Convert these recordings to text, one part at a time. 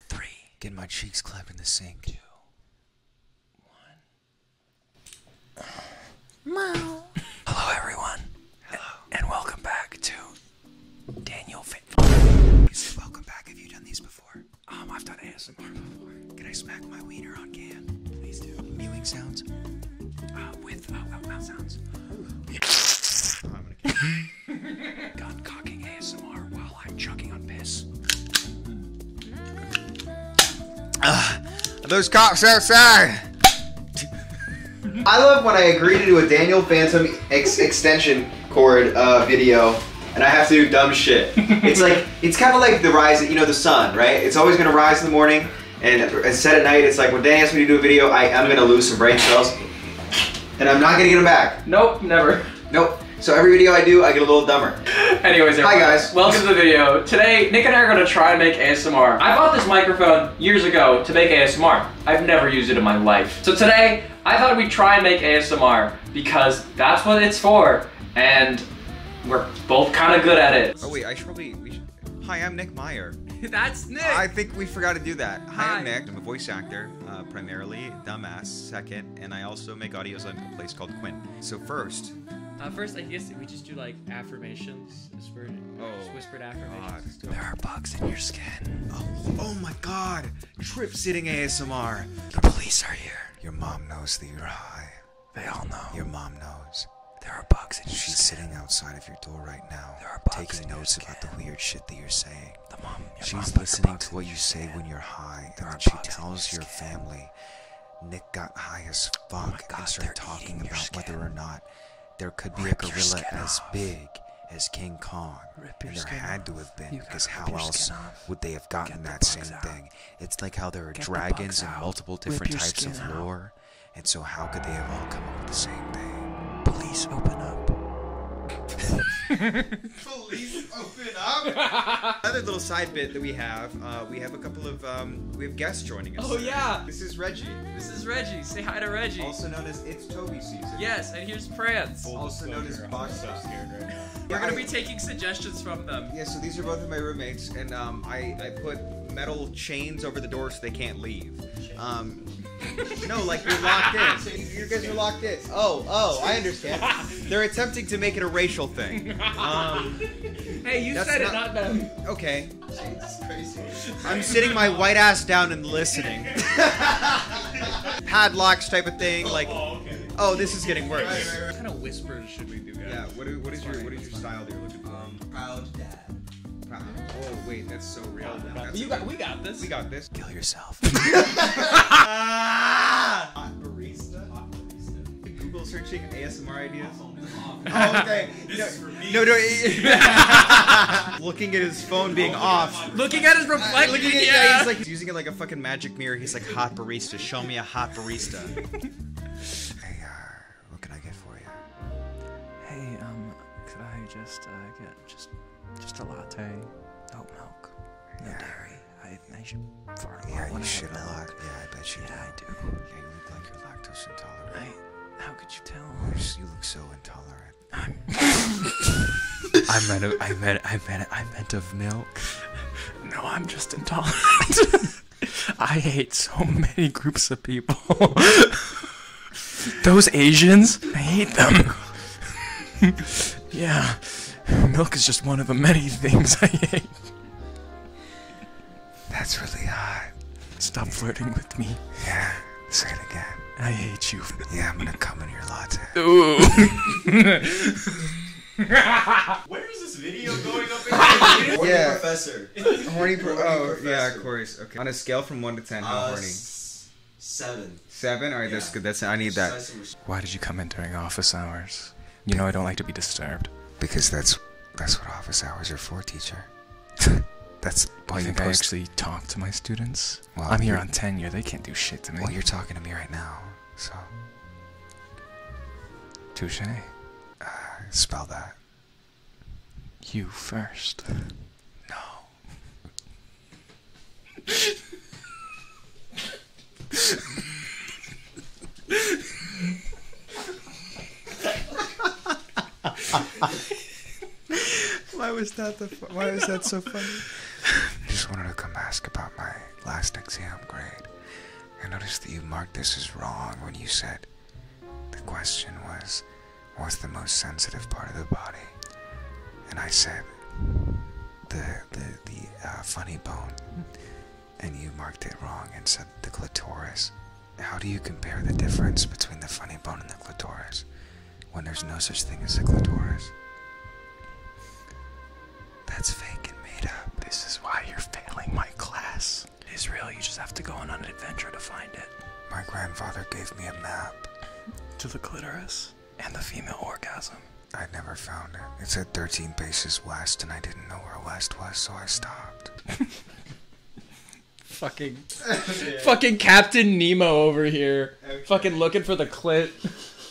Three. Get my cheeks clapped in the sink. Two. One. Meow. Hello, everyone. Hello. And, welcome back to Daniel welcome back. Have you done these before? Um, I've done ASMR before. Can I smack my wiener on cam? Please do. Mewing sounds? Uh, with uh, uh, mouth sounds. I'm chugging on piss. Ugh, those cops outside! I love when I agree to do a Daniel Phantom extension cord uh, video and I have to do dumb shit. It's like, it's kind of like the rise, of, you know, the sun, right? It's always gonna rise in the morning and, and set at night. It's like, when Dan asks me to do a video, I'm gonna lose some brain cells and I'm not gonna get them back. Nope, never. Nope. So every video I do, I get a little dumber. Anyways, hi guys. Welcome to the video. Today, Nick and I are gonna try and make ASMR. I bought this microphone years ago to make ASMR. I've never used it in my life. So today, I thought we'd try and make ASMR because that's what it's for, and we're both kind of good at it. Oh wait, I should probably, Hi, I'm Nick Meyer. that's Nick. I think we forgot to do that. Hi, Hi. I'm Nick. I'm a voice actor, uh, primarily, Dumbass. Second, and I also make audios on a place called Quinn. So first. Uh, first, I guess we just do like affirmations, oh, whispered affirmations. There are bugs in your skin. Oh, oh my God! Trip sitting ASMR. The police are here. Your mom knows that you're high. They all know. Your mom knows. There are bugs in your She's sitting outside of your door right now, taking notes about the weird shit that you're saying. She's listening to what you say when you're high, there and she tells your, family. Nick got high as oh fuck oh God, talking about whether or not there could be a gorilla as big as King Kong. and there had to have been, because how else would they have gotten that same thing? It's like how there are dragons and multiple different types of lore, and so how could they have all come up with the same thing? Police open up. Police open up. Another little side bit that we have, uh, we have a couple of um, we have guests joining us. Oh yeah. This is Reggie. This is Reggie. Say hi to Reggie. Also known as It's Toby season. Yes, and here's Prance. also known as Box. So scared right We're gonna be taking suggestions from them. Yeah. So these are both of my roommates, and um, I I put metal chains over the door so they can't leave. No, like you're locked in. You guys are locked in. Oh, oh, I understand. They're attempting to make it a racial thing. Um, hey, you said it, not- them. okay. I'm sitting my white ass down and listening. Padlocks type of thing, like, Oh, oh this is getting worse. What kind of whispers should we do, guys? Yeah, what, is- your what is your style that you're looking for? Um, Proud dad. Oh wait, that's so real. We got, this. we got this. Kill yourself. hot barista. Hot searching ASMR ideas. oh, oh okay. No, no, no. looking at his phone being oh, off. Looking at his reflection. He's like he's using it like a fucking magic mirror. He's like hot barista. Show me a hot barista. hey, uh, what can I get for you? Hey, um, could I just uh, get just just a latte, oat milk, no dairy. I, should fart a lot. Yeah, you should a Yeah, I bet you. Yeah, do. I do. you look like you're lactose intolerant. how could you tell? You look so intolerant. I'm. I meant. A, I meant. I meant. I meant of milk. No, I'm just intolerant. I hate so many groups of people. Those Asians, I hate them. yeah, milk is just one of the many things I hate. That's really hot. Stop flirting with me. Yeah, say it again. I hate you. Yeah, I'm gonna come in your latte. Ooh. Where is this video going up? In horny yeah. professor. Horny, pro- horny oh, professor. yeah, of course. Okay. On a scale from one to ten, how uh, horny? Seven. Seven? All right, that's good. That's I need that. Why did you come in during office hours? You know I don't like to be disturbed. Because that's that's what office hours are for, teacher. that's why you think I actually talk to my students. Well, I'm here on tenure. They can't do shit to me. Well, you're talking to me right now, so. Touche. Uh, spell that. You first. No. why was that the? why was that so funny? I just wanted to come ask about my last exam grade. I noticed that you marked this as wrong when you said the question was, what's the most sensitive part of the body? And I said, the, the, uh, funny bone. And you marked it wrong and said the clitoris. How do you compare the difference between the funny bone and the clitoris when there's no such thing as a clitoris? That's fake and made up. This is why you're failing my class. Israel, you just have to go on an adventure to find it. My grandfather gave me a map. To the clitoris and the female orgasm. I never found it. It said 13 paces west, and I didn't know where west was, so I stopped. fucking, fucking Captain Nemo over here. Fucking looking for the clit.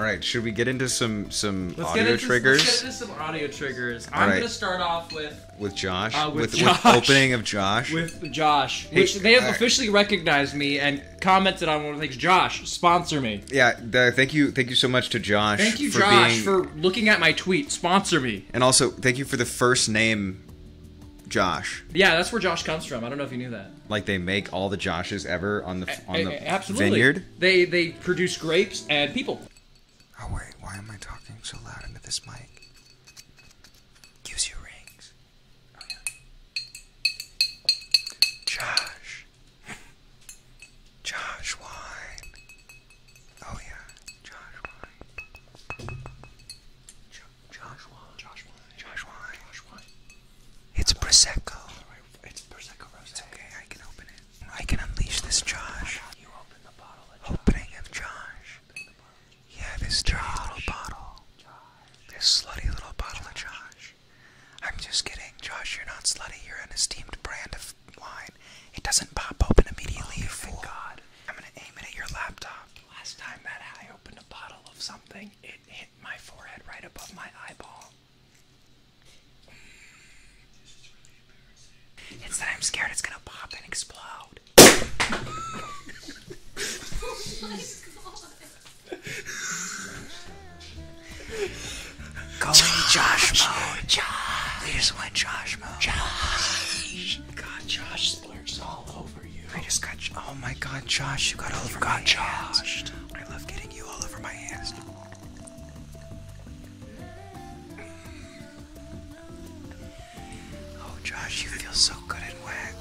All right, should we get into some some let's audio triggers? Let's get into some audio triggers. I'm gonna start off with with Josh, uh, with, opening of Josh, with Josh, which they have officially recognized me and commented on one of the things. Josh, sponsor me. Yeah, thank you, thank you so much to Josh. Thank you, Josh, for looking at my tweet. Sponsor me. And also, thank you for the first name, Josh. Yeah, that's where Josh comes from. I don't know if you knew that. Like they make all the Joshes ever on the on the absolutely. vineyard. They they produce grapes and people. Oh wait, why am I talking so loud into this mic? Gives you rings. Oh yeah. Josh. Josh Wine. Oh yeah. Josh Wine. Jo Josh Wine. Josh Wine. Josh Wine. It's Prosecco. It's Prosecco It's okay, I can open it. I can unleash this Josh. You the Josh. Yeah, this dirty little bottle. This slutty little bottle of Josh. I'm just kidding, Josh. You're not slutty. You're an esteemed brand of wine. It doesn't pop open immediately, oh, God. I'm gonna aim it at your laptop. Last time that I opened a bottle of something, it hit my forehead right above my eyeball. It's that I'm scared it's gonna pop and explode. Go Josh, Josh We just went Josh Josh. God, Josh splurged all over you. I just got. Oh my God, Josh, you got all over got Josh. I love getting you all over my hands. Oh, Josh, you feel so good and wet.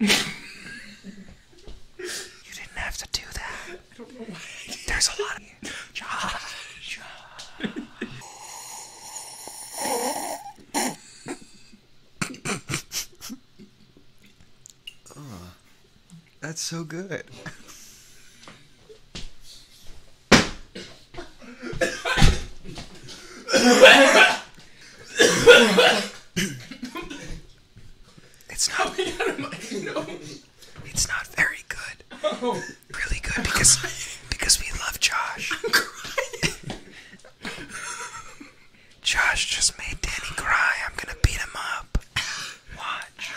you didn't have to do that. There's a lot of Josh. Josh. Uh. That's so good. it's not. very good. Oh. Really good because because we love Josh. Josh just made Danny cry. I'm gonna beat him up. Watch.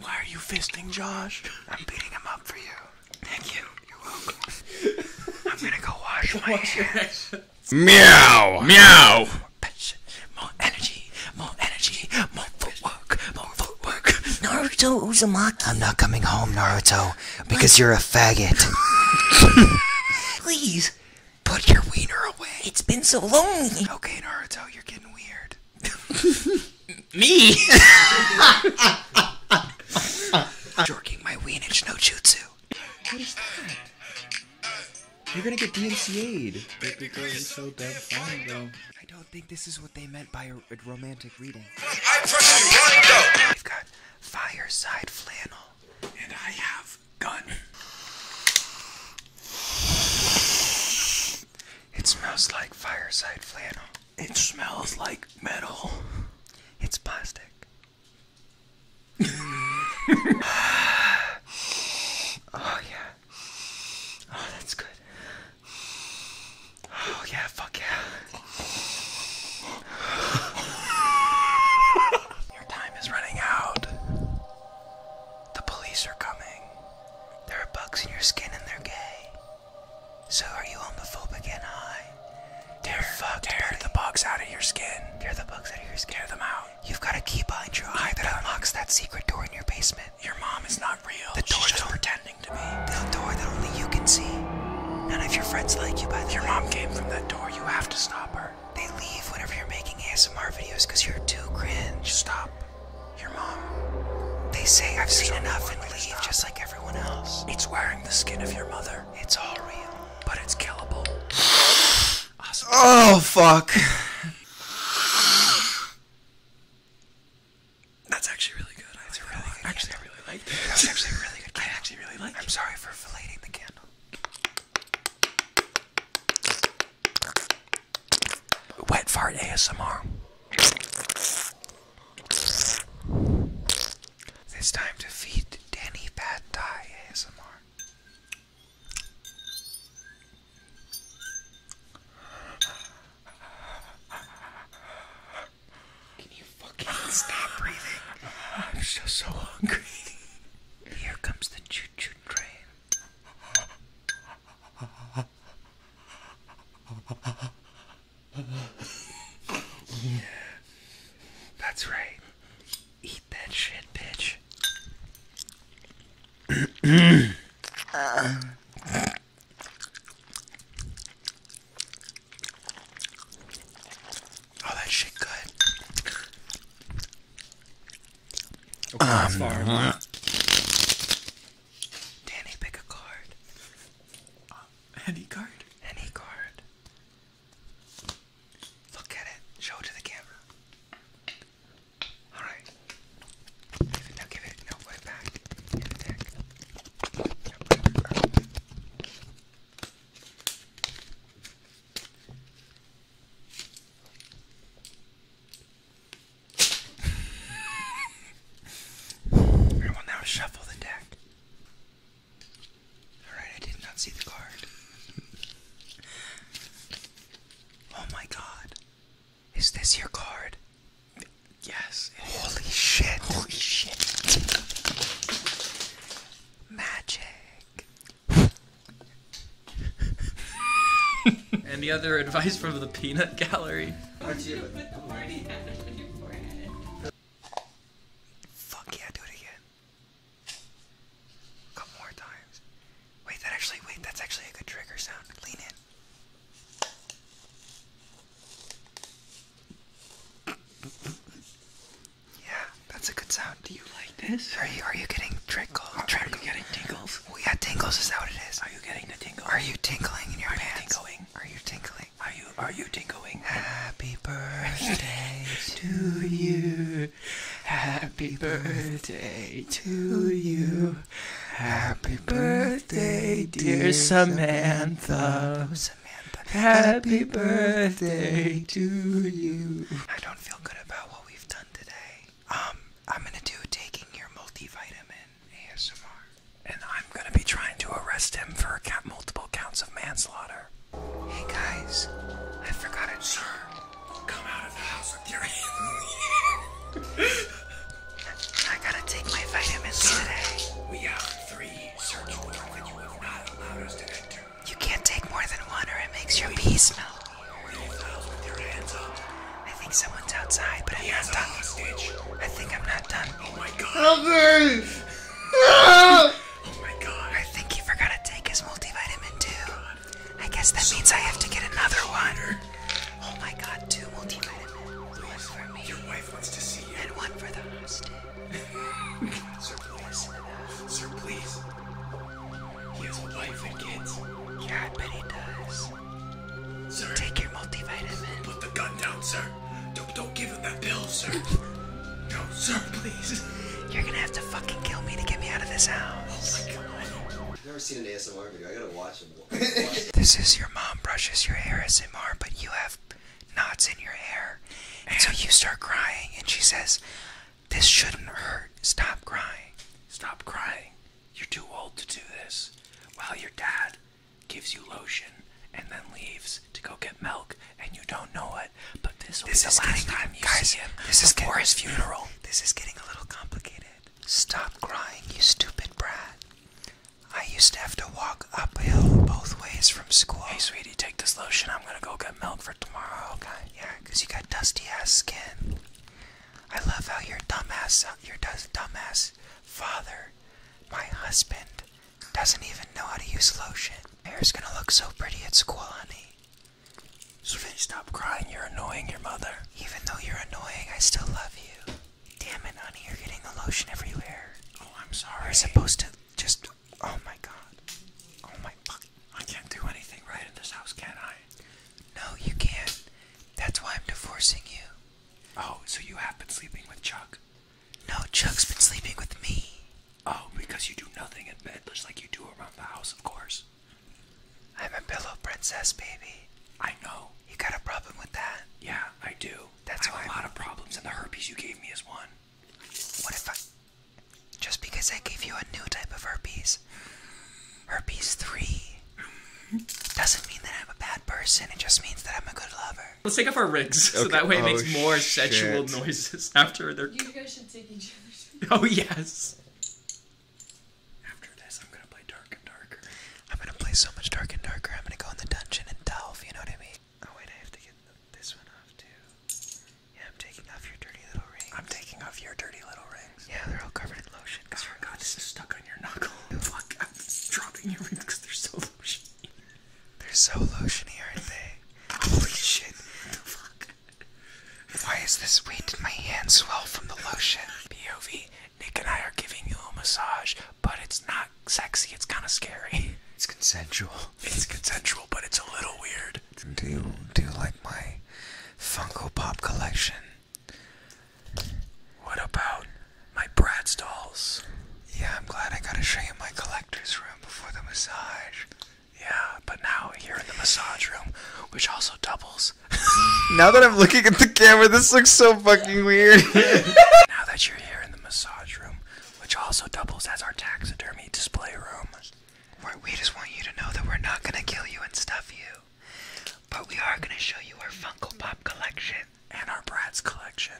Why are you fisting Josh? I'm beating him up for you. Thank you. You're welcome. I'm gonna go wash my wash hands. Meow! Meow! Passion. More energy. More energy. More footwork. More footwork. Naruto Uzumaki. I'm not coming home, Naruto because you're a faggot. Please, put your wiener away. It's been so lonely. Okay, Naruto, you're getting weird. Me? Jorking my wienage no jutsu. What is that? You're gonna get DNC aid. I don't think this is what they meant by a, romantic reading. I press you right now. We've got fireside flannel and I have gun. It smells like fireside flannel. It smells like metal. It's plastic. oh yeah. Oh, that's good. Oh yeah, fuck yeah. Your time is running out. The police are coming. There are bugs in your skin and they're gay. So are you homophobic and high? Tear, fucked, tear buddy. the bugs out of your skin. Tear the bugs out of your skin. Tear them out. You've got a key behind your eye that unlocks that secret door in your basement. Your mom is not real. The door She's pretending to be. The door that only you can see. And if your friends like you, by the your way. Your mom came from that door. You have to stop her. They leave whenever you're making ASMR videos because you're too cringe. Stop. Your mom. They say I've seen enough and leave just like everyone else. It's wearing the skin of your mother. It's all real. But it's killable. Oh, fuck. That's actually really good good. really good Actually, I really like this. That's actually really good I actually really like I'm it. I'm sorry for filleting the candle. Wet fart ASMR. It's time to feed Danny Pad Thai ASMR. Can you fucking stop breathing? I'm so, so hungry. Here comes the choo choo train. yeah. That's right. Eat that shit, bitch. Uh. Oh, that shit good. um, uh-huh. Danny, pick a card. Uh, any card? Any card. Look at it. Show it to the camera. Alright. Now give it. No, put it back. Give it back. I now shuffle the deck. Alright, I did not see the card. oh my god. Is this your card? Yes. Holy shit. Holy shit. Magic. Any other advice from the peanut gallery? Fuck yeah, do it again. A couple more times. Wait, that actually, wait, that's actually a good trigger sound. Lean in. Yeah, that's a good sound. Do you like this? Are you are you getting trickles? Are, are you getting tingles? Oh yeah, tingles is that what it is? Are you getting the tingles? Are you tingling in your are pants? You tingling? Are you tingling? Are you are you tingling? Happy birthday to you. Happy birthday to you. Happy Happy birthday, dear Samantha. Samantha. Happy birthday to you. I don't feel good about what we've done today. Um, I'm gonna do taking your multivitamin ASMR. And I'm gonna be trying to arrest him for multiple counts of manslaughter. Hey guys, I forgot it. Sir, come out of the house with your hands I gotta take my vitamins today. We have three search warrants that you have not allowed us to enter. You can't take more than one or it makes your pee smell. I think someone's outside, but I'm not done. Hostage. I think I'm not done. Oh my god. Help me! oh my god. I think he forgot to take his multivitamin too. Oh I guess that means I have to get another one. Oh my god, two multivitamins. One for me wife wants to see you. And one for the hostage. Sir, please. Sir, please. He has a wife and kids. Yeah, I bet he does. Sir. Take your multivitamin. Put the gun down, sir. Don't, don't give him that pill, sir. no, sir, please. You're gonna have to fucking kill me to get me out of this house. Oh my god. I've never seen an ASMR video. I gotta watch it. this is your mom brushes your hair SMR, but you have knots in your hair. And so you start crying, and she says, This shouldn't hurt. Stop crying. Stop crying. You're too old to do this. While your dad gives you lotion and then leaves to go get milk, and you don't know it, but this will this guys, this is before his funeral. This is getting a little complicated. Stop crying, you stupid brat. I used to have to walk uphill both ways from school. Hey, sweetie, take this lotion. I'm gonna go get milk for tomorrow, okay? Yeah, because you got dusty ass skin. I love how your dumbass, uh, your dumbass father, my husband, doesn't even know how to use lotion. Hair's gonna look so pretty at school, honey. Sweetie, stop crying. You're annoying your mother. Even though you're annoying, I still love you. Damn it, honey, you're getting the lotion everywhere. Oh, I'm sorry. We're supposed to just. Oh my god. Oh my fuck. I can't do anything right in this house, can I? No, you can't. That's why I'm divorcing you. Oh, so you have been sleeping with Chuck? No, Chuck's been sleeping with me. Oh, because you do nothing in bed, just like you do around the house, of course. I'm a pillow princess, baby. I know. You got a problem with that? Yeah, I do. That's a lot of problems, and the herpes you gave me is one. What if I. Just because I gave you a new type of herpes, herpes 3, doesn't mean that I'm a bad person. It just means that I'm a good lover. Let's take off our rigs so that way it makes oh, more sexual noises after they're. You guys should take each other's. Oh, yes. After this, I'm gonna play Dark and Darker. I'm gonna play so much Dark and Darker, I'm gonna go in the dungeon and delve, you know what I mean? Oh, wait, I have to get this one off too. Yeah, I'm taking off your dirty little rings. I'm taking off your dirty little rings. Yeah, they're all covered in lotion. Oh my god, this is stuck on your knuckle. Fuck, I'm dropping your rings because they're so lotiony. They're so lotiony, aren't they? Holy shit. the fuck? Why is this? weight in my hand swell from the lotion? POV. Nick and I are giving you a massage, but it's not sexy, it's kind of scary. It's consensual. It's consensual, but it's a little weird. Do you, do you like my Funko Pop collection? What about my Bratz dolls? Yeah, I'm glad I got to show you my collector's room before the massage. Yeah, but now here in the massage room, which also doubles now that I'm looking at the camera, this looks so fucking weird. now that you're here in the massage room, which also doubles as our taxidermy display room, we just want you to know that we're not gonna kill you and stuff you, but we are gonna show you our Funko Pop collection and our brats collection.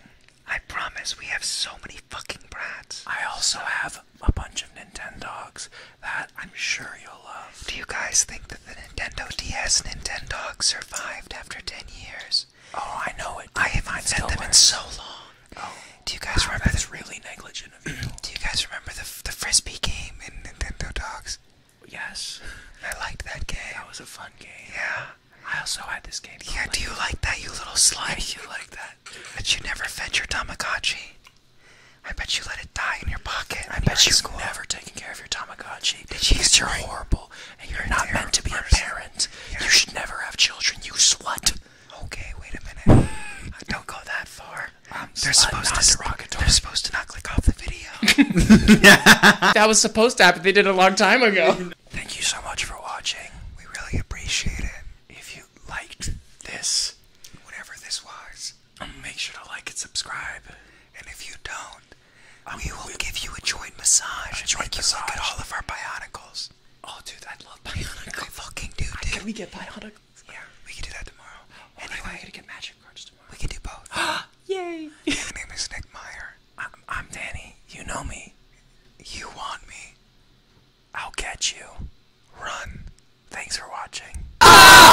I promise we have so many fucking brats. I also have a bunch of Nintendo dogs that I'm sure you'll. Do you guys think that the Nintendo DS Nintendo Nintendogs survived after 10 years? Oh, I know it. I haven't said them in so long. Oh. Do you guys remember that's really negligent of you? Do you guys remember the the frisbee game in Nintendo Dogs? Yes. I liked that game. That was a fun game. Yeah. I also had this game. Yeah. do you like that, you little slime? you like that? But you never fed your Tamagotchi. I bet you let it die in your pocket. I bet you are school. never taken care of your Tamagotchi. Did you horrible, and you're, not meant to be a parent. You should never have children. You slut. Okay, wait a minute. Don't go that far. they're supposed to derogatory. They're supposed to not click off the video. that was supposed to happen. They did it a long time ago. Thank you so much for watching. We really appreciate it. If you liked this, whatever this was. Make sure to like and subscribe. And if you don't, um, we will give you a joint massage. A joint massage. look at all of our bionicles. Oh, dude, I love bionicles. fucking do, dude. Can we get bionicles? Yeah, we can do that tomorrow. Oh, anyway, I'm to get magic cards tomorrow. We can do both. Ah, Yay! My name is Nick Meyer. I'm, Danny. You know me. You want me. I'll get you. Run. Thanks for watching. Ah!